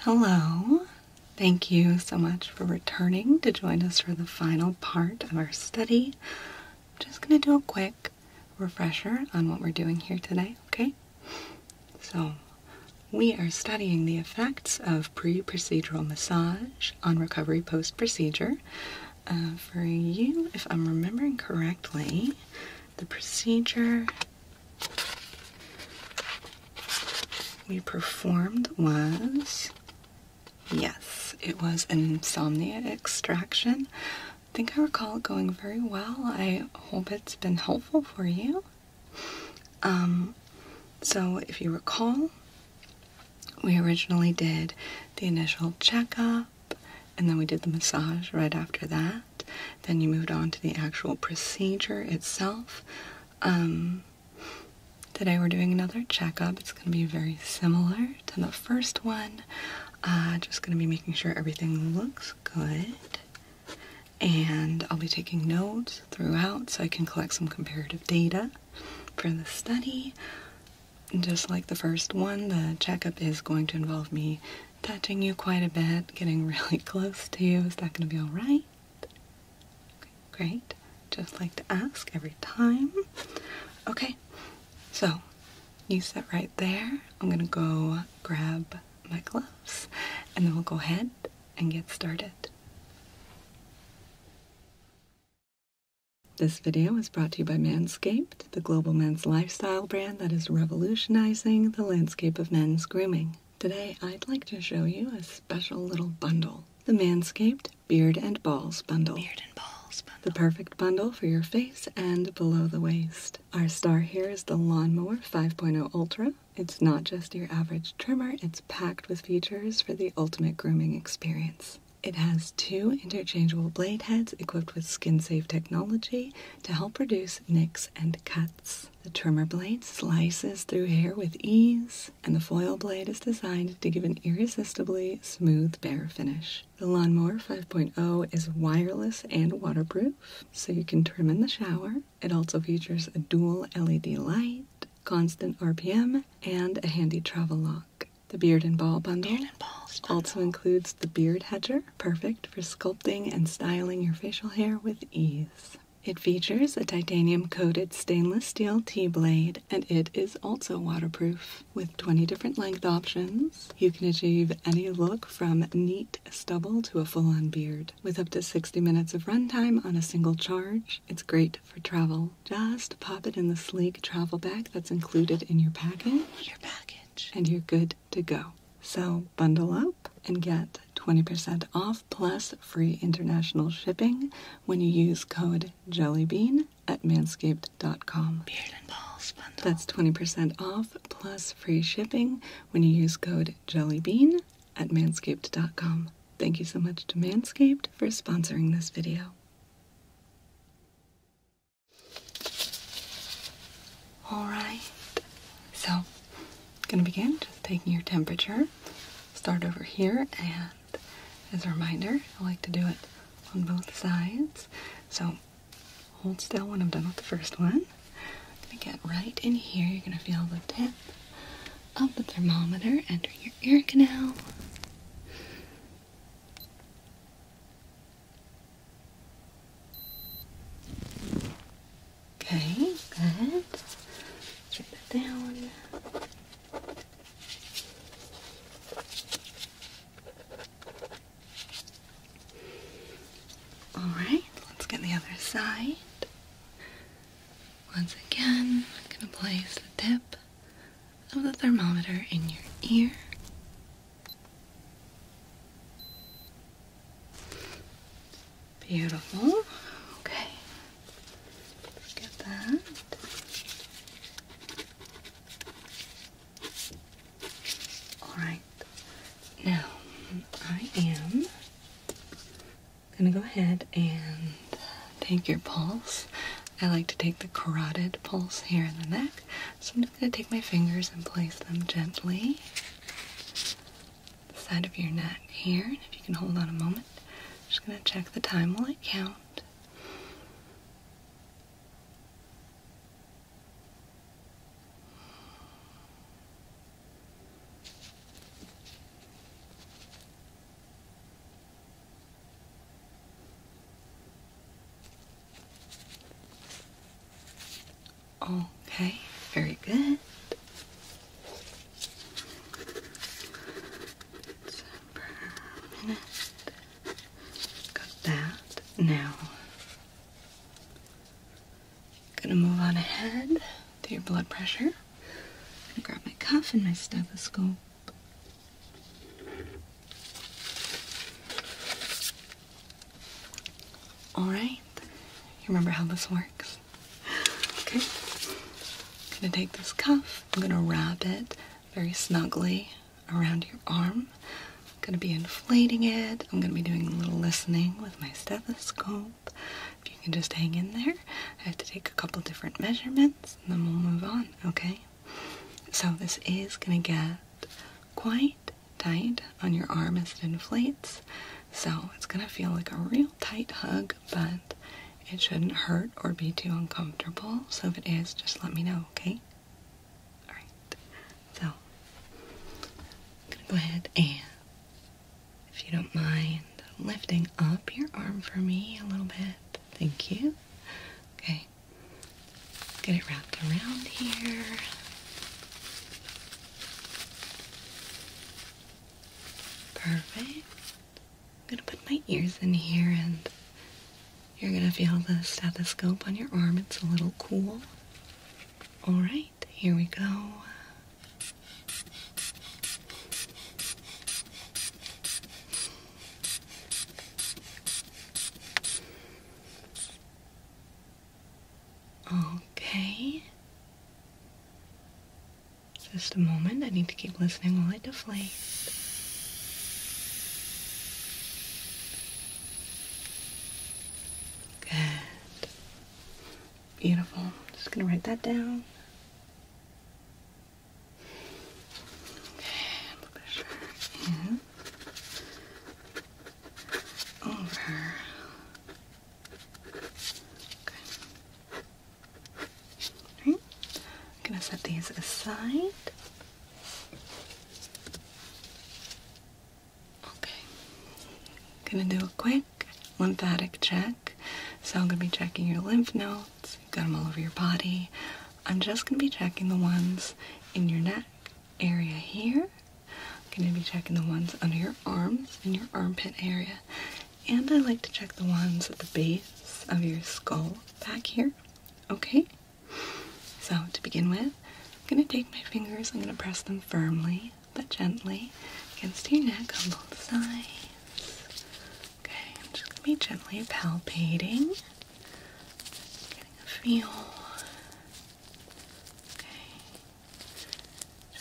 Hello. Thank you so much for returning to join us for the final part of our study. I'm just going to do a quick refresher on what we're doing here today, okay? So, we are studying the effects of pre procedural massage on recovery post procedure. Uh, for you, if I'm remembering correctly, the procedure we performed was yes, it was an insomnia extraction. I think I recall it going very well. I hope it's been helpful for you. Um, so, if you recall, we originally did the initial checkup and then we did the massage right after that. Then you moved on to the actual procedure itself. Um, today we're doing another checkup. It's going to be very similar to the first one. Uh, just going to be making sure everything looks good. And I'll be taking notes throughout so I can collect some comparative data for the study. Just like the first one, the checkup is going to involve me touching you quite a bit, getting really close to you. Is that going to be all right? great. Just like to ask every time. Okay, so you sit right there. I'm going to go grab my gloves and then we'll go ahead and get started. This video is brought to you by Manscaped, the global men's lifestyle brand that is revolutionizing the landscape of men's grooming. Today I'd like to show you a special little bundle. The Manscaped Beard and Balls Bundle. Beard and Balls Bundle. The perfect bundle for your face and below the waist. Our star here is the Lawnmower 5.0 Ultra. It's not just your average trimmer, it's packed with features for the ultimate grooming experience. It has two interchangeable blade heads equipped with skin safe technology to help reduce nicks and cuts. The trimmer blade slices through hair with ease, and the foil blade is designed to give an irresistibly smooth bare finish. The Lawnmower 5.0 is wireless and waterproof, so you can trim in the shower. It also features a dual LED light, constant RPM, and a handy travel lock. The Beard and Ball bundle also includes the beard hedger, perfect for sculpting and styling your facial hair with ease. It features a titanium coated stainless steel T blade and it is also waterproof. With 20 different length options, you can achieve any look from neat stubble to a full on beard. With up to 60 minutes of runtime on a single charge, it's great for travel. Just pop it in the sleek travel bag that's included in your package. Your package. And you're good to go. So bundle up and get 20% off plus free international shipping when you use code JELLYBEAN at manscaped.com. Beard and balls bundle. That's 20% off plus free shipping when you use code JELLYBEAN at manscaped.com. Thank you so much to Manscaped for sponsoring this video. Alright, so gonna begin just taking your temperature. Start over here, and as a reminder, I like to do it on both sides. So hold still when I'm done with the first one. I'm gonna get right in here. You're gonna feel the tip of the thermometer enter your ear canal. Okay, good. Let's down. Alright, let's get the other side. Once again, I'm going to place the tip of the thermometer in your ear. Beautiful. Okay. Get that. Alright. Now, I am gonna go ahead and take your pulse. I like to take the carotid pulse here in the neck. So I'm just gonna take my fingers and place them gently the side of your neck here. And if you can hold on a moment, I'm just going to check the time while I count. Okay, very good. It's per minute. Got that. Now, gonna move on ahead to your blood pressure. i gonna grab my cuff and my stethoscope. Alright. You remember how this works? Okay. I'm gonna take this cuff, I'm gonna wrap it very snugly around your arm. I'm gonna be inflating it. I'm gonna be doing a little listening with my stethoscope. If you can just hang in there. I have to take a couple different measurements and then we'll move on, okay? So this is gonna get quite tight on your arm as it inflates. So it's going to feel like a real tight hug, but it shouldn't hurt or be too uncomfortable. So if it is, just let me know, okay? Alright, so I'm going to go ahead and, if you don't mind, lifting up your arm for me a little bit. Thank you. Okay, get it wrapped around here. Perfect. I'm going to put my ears in here and you're going to feel the stethoscope on your arm. It's a little cool. All right, here we go. Okay. Just a moment. I need to keep listening while I deflate. Good. Beautiful. Just gonna write that down. over I'm gonna set these aside. Okay. Gonna do a quick lymphatic check. So I'm gonna be checking your lymph nodes. You've got them all over your body. I'm just gonna be checking the ones in your neck area here I'm going to be checking the ones under your arms in your armpit area. And I like to check the ones at the base of your skull back here. Okay? So, to begin with, I'm going to take my fingers, I'm going to press them firmly but gently against your neck on both sides. Okay, I'm just going to be gently palpating, getting a feel. Okay,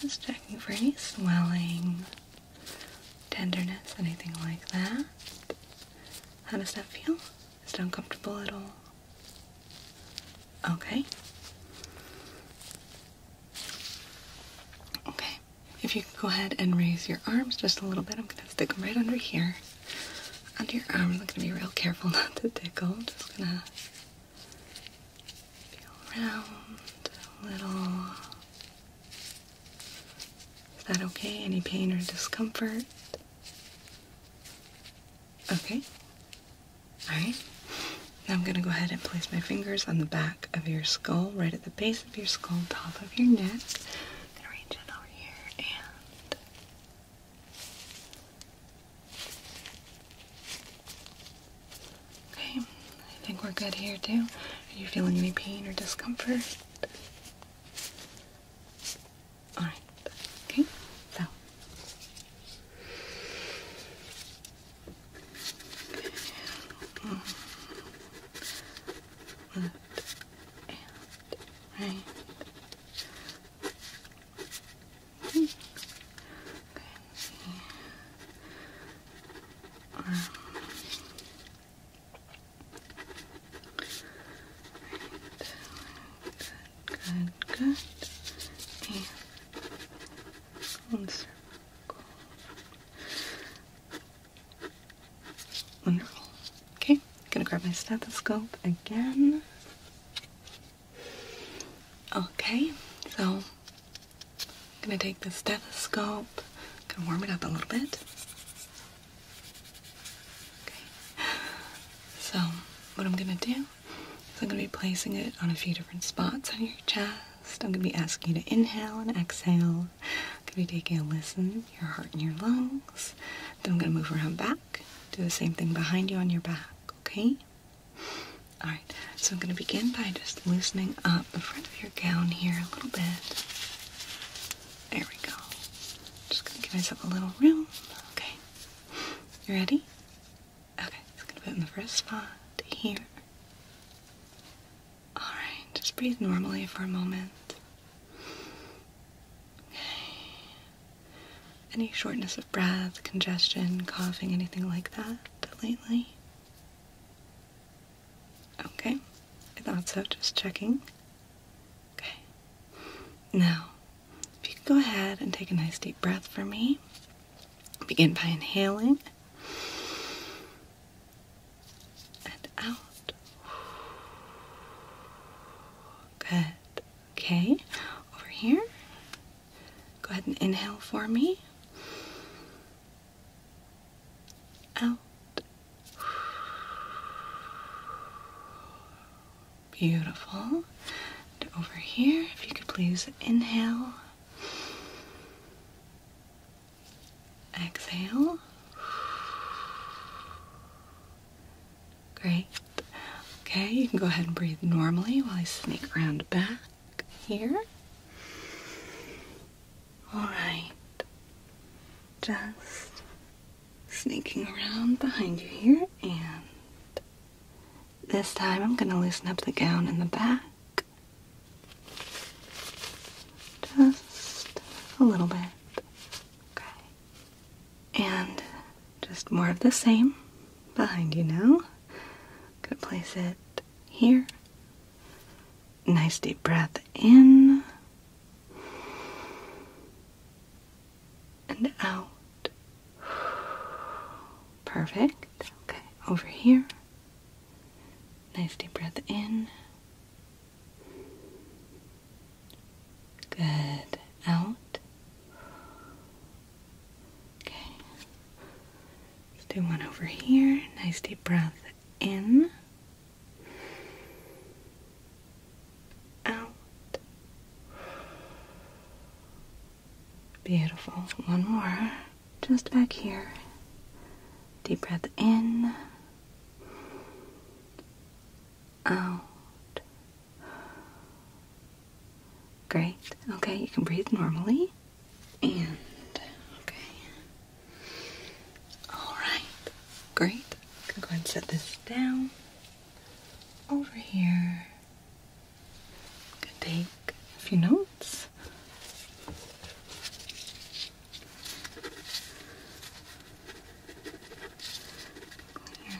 just checking for any swelling, tenderness, anything like that. How does that feel? Is it uncomfortable at all? Okay. Okay. If you could go ahead and raise your arms just a little bit, I'm gonna stick them right under here. Under your arms, I'm gonna be real careful not to dig. tickle. Just gonna Feel round, little. Is that okay? Any pain or discomfort? Okay. Alright. I'm going to go ahead and place my fingers on the back of your skull, right at the base of your skull, top of your neck. going to reach it over here and Okay, I think we're good here too. Are you feeling any pain or discomfort? Alright, okay, so. right. Okay. Um, right. Good, good, good. Wonderful. Okay, gonna grab my stethoscope again. Okay, so I'm gonna take the stethoscope, gonna warm it up a little bit. Okay, so what I'm gonna do is I'm gonna be placing it on a few different spots on your chest. I'm gonna be asking you to inhale and exhale. I'm gonna be taking a listen, your heart and your lungs. Then I'm gonna move around back, do the same thing behind you on your back, okay? Alright, so I'm going to begin by just loosening up the front of your gown here a little bit. There we go. Just going to give myself a little room. Okay. You ready? Okay, just going to put in the first spot here. Alright, just breathe normally for a moment. Okay any shortness of breath, congestion, coughing, anything like that lately? Okay, I thought so, just checking. Okay, now if you could go ahead and take a nice deep breath for me, begin by inhaling and out. Good. Okay, over here. Go ahead and inhale for me. Out. Beautiful. over here, if you could please inhale. Exhale. Great. Okay, you can go ahead and breathe normally while I sneak around back here. Alright. Just sneaking around behind you here, and this time I'm going to loosen up the gown in the back. Just a little bit. Okay. And just more of the same behind you now. Gonna place it here. Nice deep breath in and out. Perfect. Okay, over here. Nice deep breath in. Good. Out. Okay. do one over here. Nice deep breath in. Out. Beautiful. One more. Just back here. Deep breath in. Out. Great. Okay, you can breathe normally. And okay. Alright. Great. I can go ahead and set this down over here. Could take a few notes. Clear.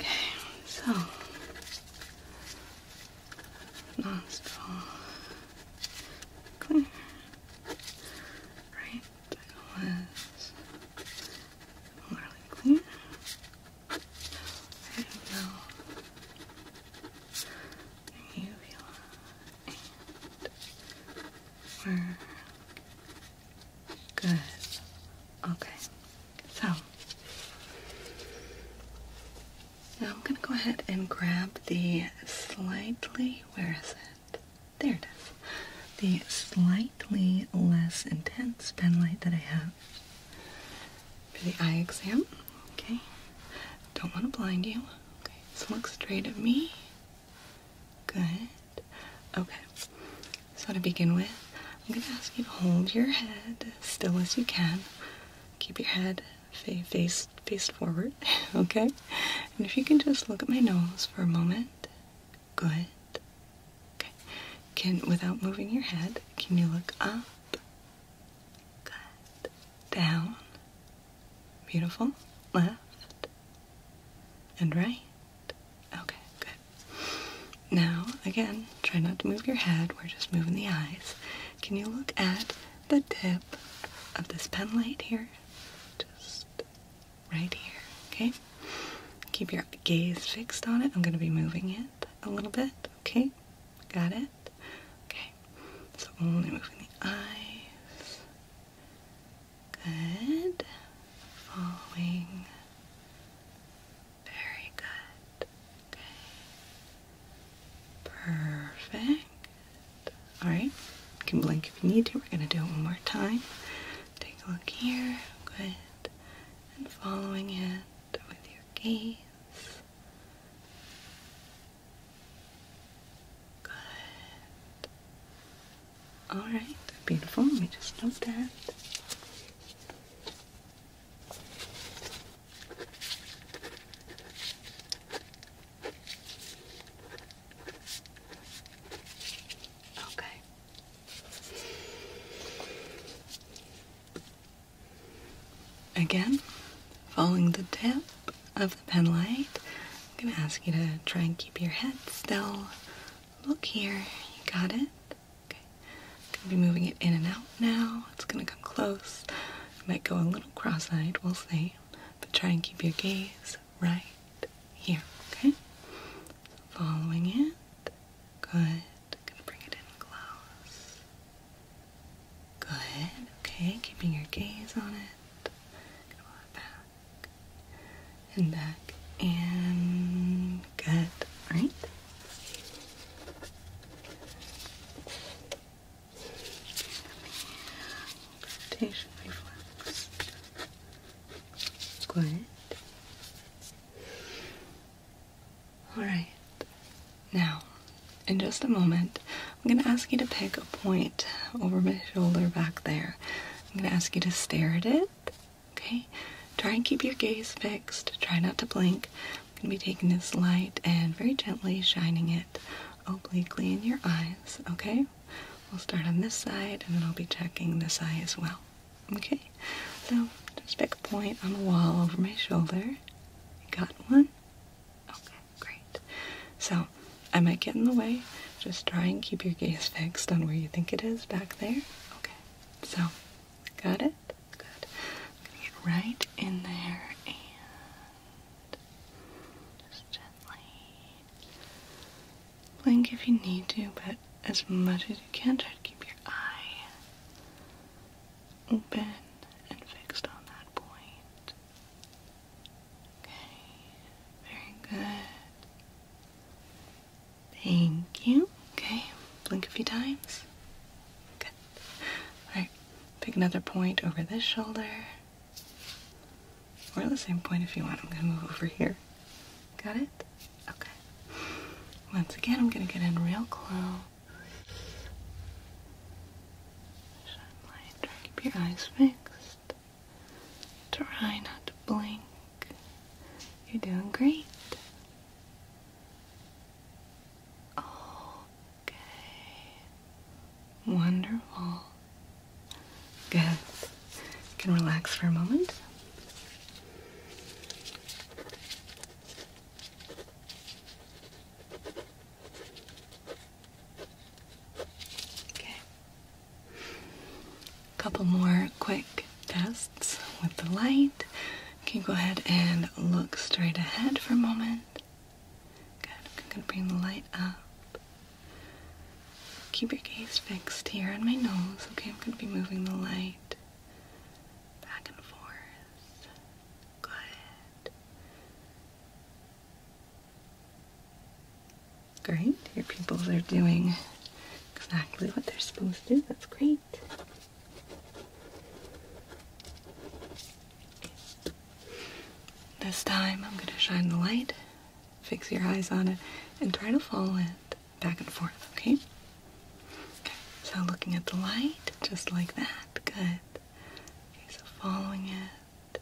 Okay, so nostril clear. Right was morally clear. I don't know. Good. Okay. So now I'm going to go ahead and grab the slightly, where is it? There it is. The slightly less intense pen light that I have for the eye exam. Okay. Don't want to blind you. Okay. So look straight at me. Good. Okay. So to begin with, I'm gonna ask you to hold your head still as you can. Keep your head fa face faced forward. okay. And if you can just look at my nose for a moment. Good. Okay. Can without moving your head, can you look up? Good. Down. Beautiful. Left and right. Okay, good. Now, again, try not to move your head. We're just moving the eyes. Can you look at the tip of this pen light here? Just right here, okay? Keep your gaze fixed on it. I'm going to be moving it a little bit, okay? Got it? Okay. So only moving the eyes. Good. Following. Very good. Okay. Perfect. Alright. You can blink if you need to. We're going to do it one more time. Take a look here. Good. And following it with your gaze. Good. Alright, beautiful. Let just note that. Okay. Again, following the tip of the pen light, I'm going to ask you to try and keep your head still Look here. You got it? Okay. I'm gonna be moving it in and out now. It's gonna come close. might go a little cross-eyed, we'll see. But try and keep your gaze right here, okay? Following it. Good. Gonna bring it in close. Good. Okay, keeping your gaze on it. Gonna pull it back and back and good. Right. Rotation reflex. Good. All right. Now, in just a moment, I'm going to ask you to pick a point over my shoulder back there. I'm going to ask you to stare at it Okay, try and keep your gaze fixed. Try not to blink. I'm gonna be taking this light and very gently shining it obliquely in your eyes. Okay, we'll start on this side and then I'll be checking this eye as well. Okay, so just pick a point on the wall over my shoulder. got one? Okay, great. So I might get in the way. Just try and keep your gaze fixed on where you think it is back there. Okay. So, got it? Good. get right in there and just gently blink if you need to, but as much as you can, try to keep your eye open and fixed on that point. Okay. Very good. Thank you. Okay, blink a few times. Good. Alright, pick another point over this shoulder. Or the same point if you want. I'm gonna move over here. Got it? Okay. Once again, I'm gonna get in real close. keep your eyes fixed. Try not to blink. You're doing great. Okay. Wonderful. Good. can relax for a moment. Okay. Couple more quick tests with the light. Can you go ahead and look straight ahead for a moment? Good. I'm gonna bring the light up. Keep your gaze fixed here on my nose. Okay, I'm gonna be moving the light back and forth. Good. Great, your pupils are doing exactly what they're supposed to. That's great. This time I'm going to shine the light, fix your eyes on it, and try to follow it back and forth, okay? Okay, so looking at the light, just like that. Good. Okay, so following it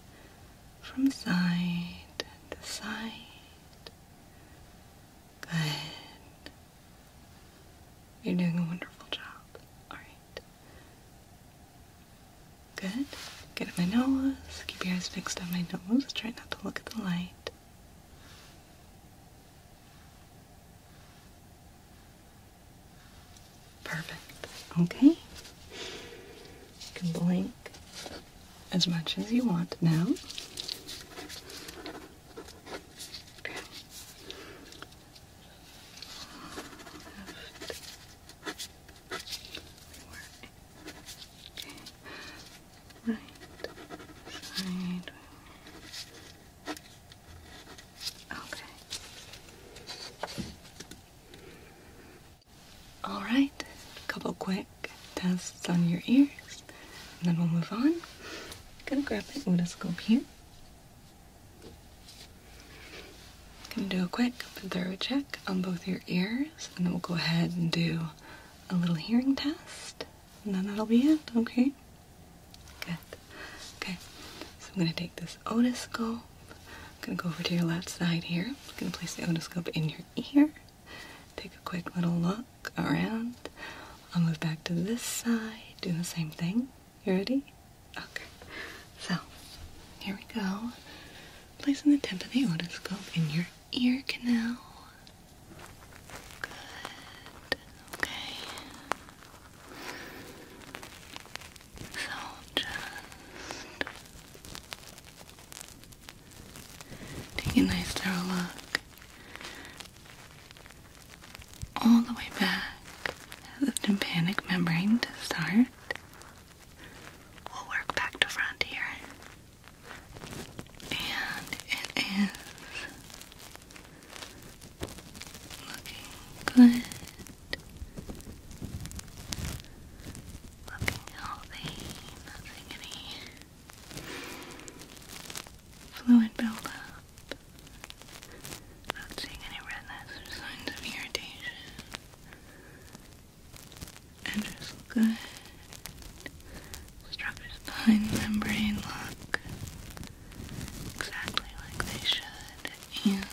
from side to side Good. You're doing a wonderful job. All right. Good. Get at my nose. Keep your eyes fixed on my nose. Try not to look at the light. Perfect. Okay. You can blink as much as you want now. Okay. Left. Okay. Right side. Okay. All right, a couple quick tests on your ears, and then we'll move on. I'm gonna grab my otoscope here. Gonna do a quick thorough check on both your ears, and then we'll go ahead and do a little hearing test, and then that'll be it, okay? Good. Okay, so I'm gonna take this otoscope. I'm gonna go over to your left side here. I'm gonna place the otoscope in your ear. Take a quick little look around. I'll move back to this side, do the same thing. You ready? Okay. So, here we go. Placing the tip of the otoscope in your ear canal. Good. Okay. So just Take a nice thorough look all the way back at the tympanic membrane to start. We'll work back to front here. And it is looking good. Looking healthy. Nothing Fluid buildup. Not seeing any redness or signs of irritation. And just good. Structures behind the membrane look exactly like they should. And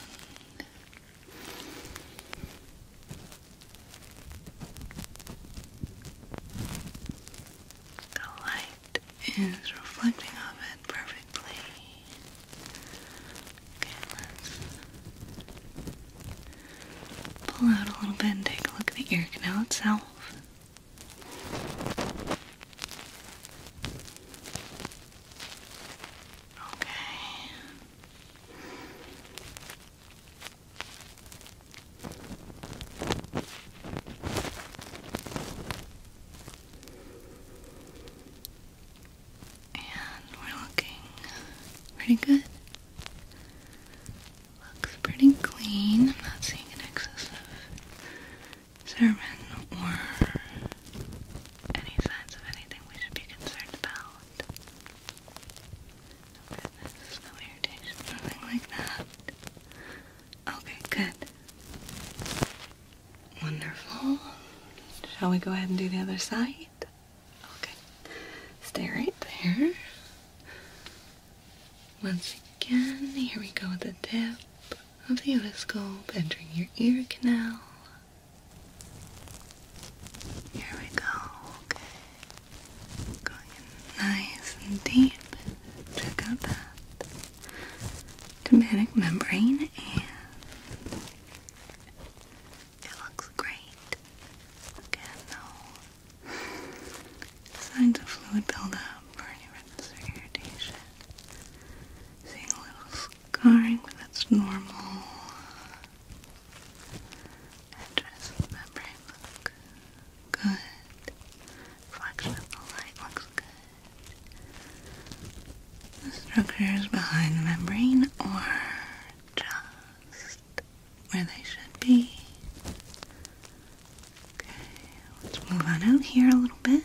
the light is reflecting off it perfectly. Okay, let's pull out a little bit and take a look at the ear canal itself. Okay. And we're looking pretty good. Looks pretty clean. I'm not seeing an excess of serum or any signs of anything we should be concerned about no irritation, nothing like that. Okay, good. Wonderful. Shall we go ahead and do the other side? Okay. Stay right there. Once again, here we go with the dip of the otoscope entering your ear canal. Here we go. Okay. Going nice and deep. Check out that tympanic membrane, and it looks great. no signs of fluid buildup burning, or irritation. Seeing a little scarring, but that's normal. And just remembering look good. Reflection of the light looks good. The structures behind the membrane are just where they should be. Okay, let's move on out here a little bit.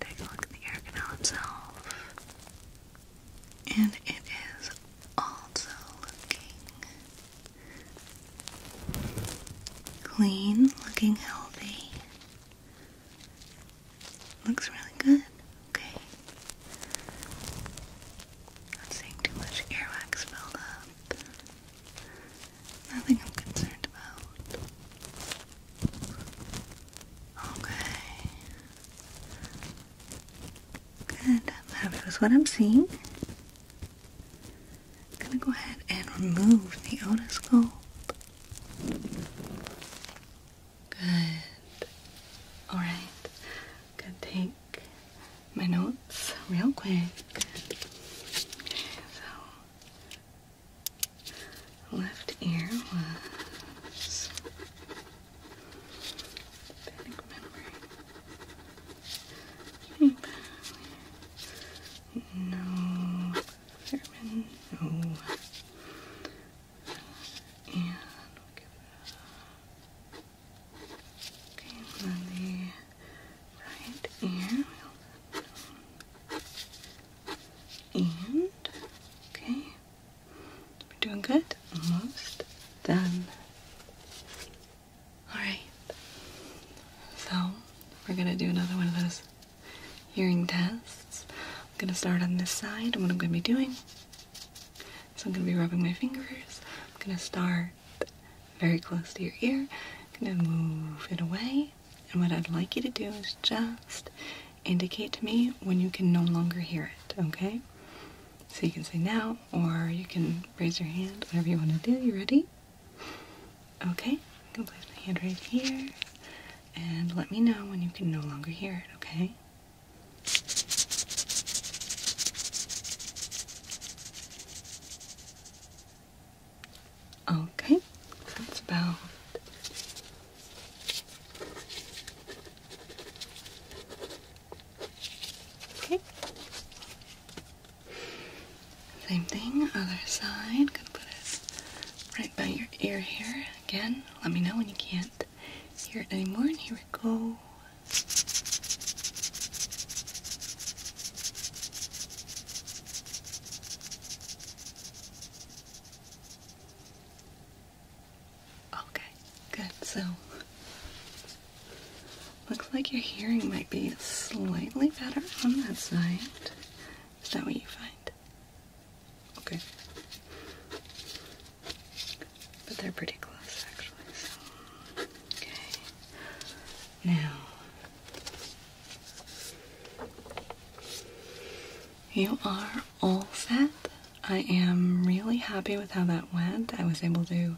Take a look at the air canal itself and it is also looking clean, looking healthy. Looks really good. Okay. Not seeing too much earwax build up. Nothing I'm concerned about. Okay. Good, I'm happy with what I'm seeing. I'm gonna go ahead and remove the otoscope. Good. Alright. I'm gonna take my notes real quick. Okay, so left ear Panic memory. Sleep. No. Sermon. No. And we'll give it a... Okay, and then the right ear. And, okay, we're doing good. Almost done. Alright. So, we're gonna do another one of those hearing tests. I'm gonna start on this side, and what I'm gonna be doing so I'm gonna be rubbing my fingers. I'm gonna start very close to your ear. I'm gonna move it away. And what I'd like you to do is just indicate to me when you can no longer hear it, okay? So you can say now, or you can raise your hand, whatever you want to do. You ready? Okay, I'm gonna place my hand right here and let me know when you can no longer hear it, okay? Okay, that's about Okay. Same thing, other side. Gonna put it right by your ear here. Again, let me know when you can't hear it anymore. And here we go. Okay, good. So, looks like your hearing might be slightly better on that side. Is that what you find? Okay. But they're pretty close, actually. Okay. Now, you are all set. I am really happy with how that went. I was able to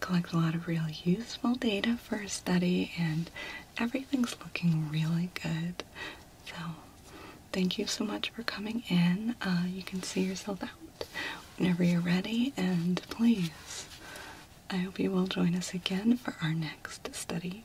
collect a lot of real useful data for a study, and everything's looking really good. So, thank you so much for coming in. Uh, you can see yourself out whenever you're ready, and please, I hope you will join us again for our next study.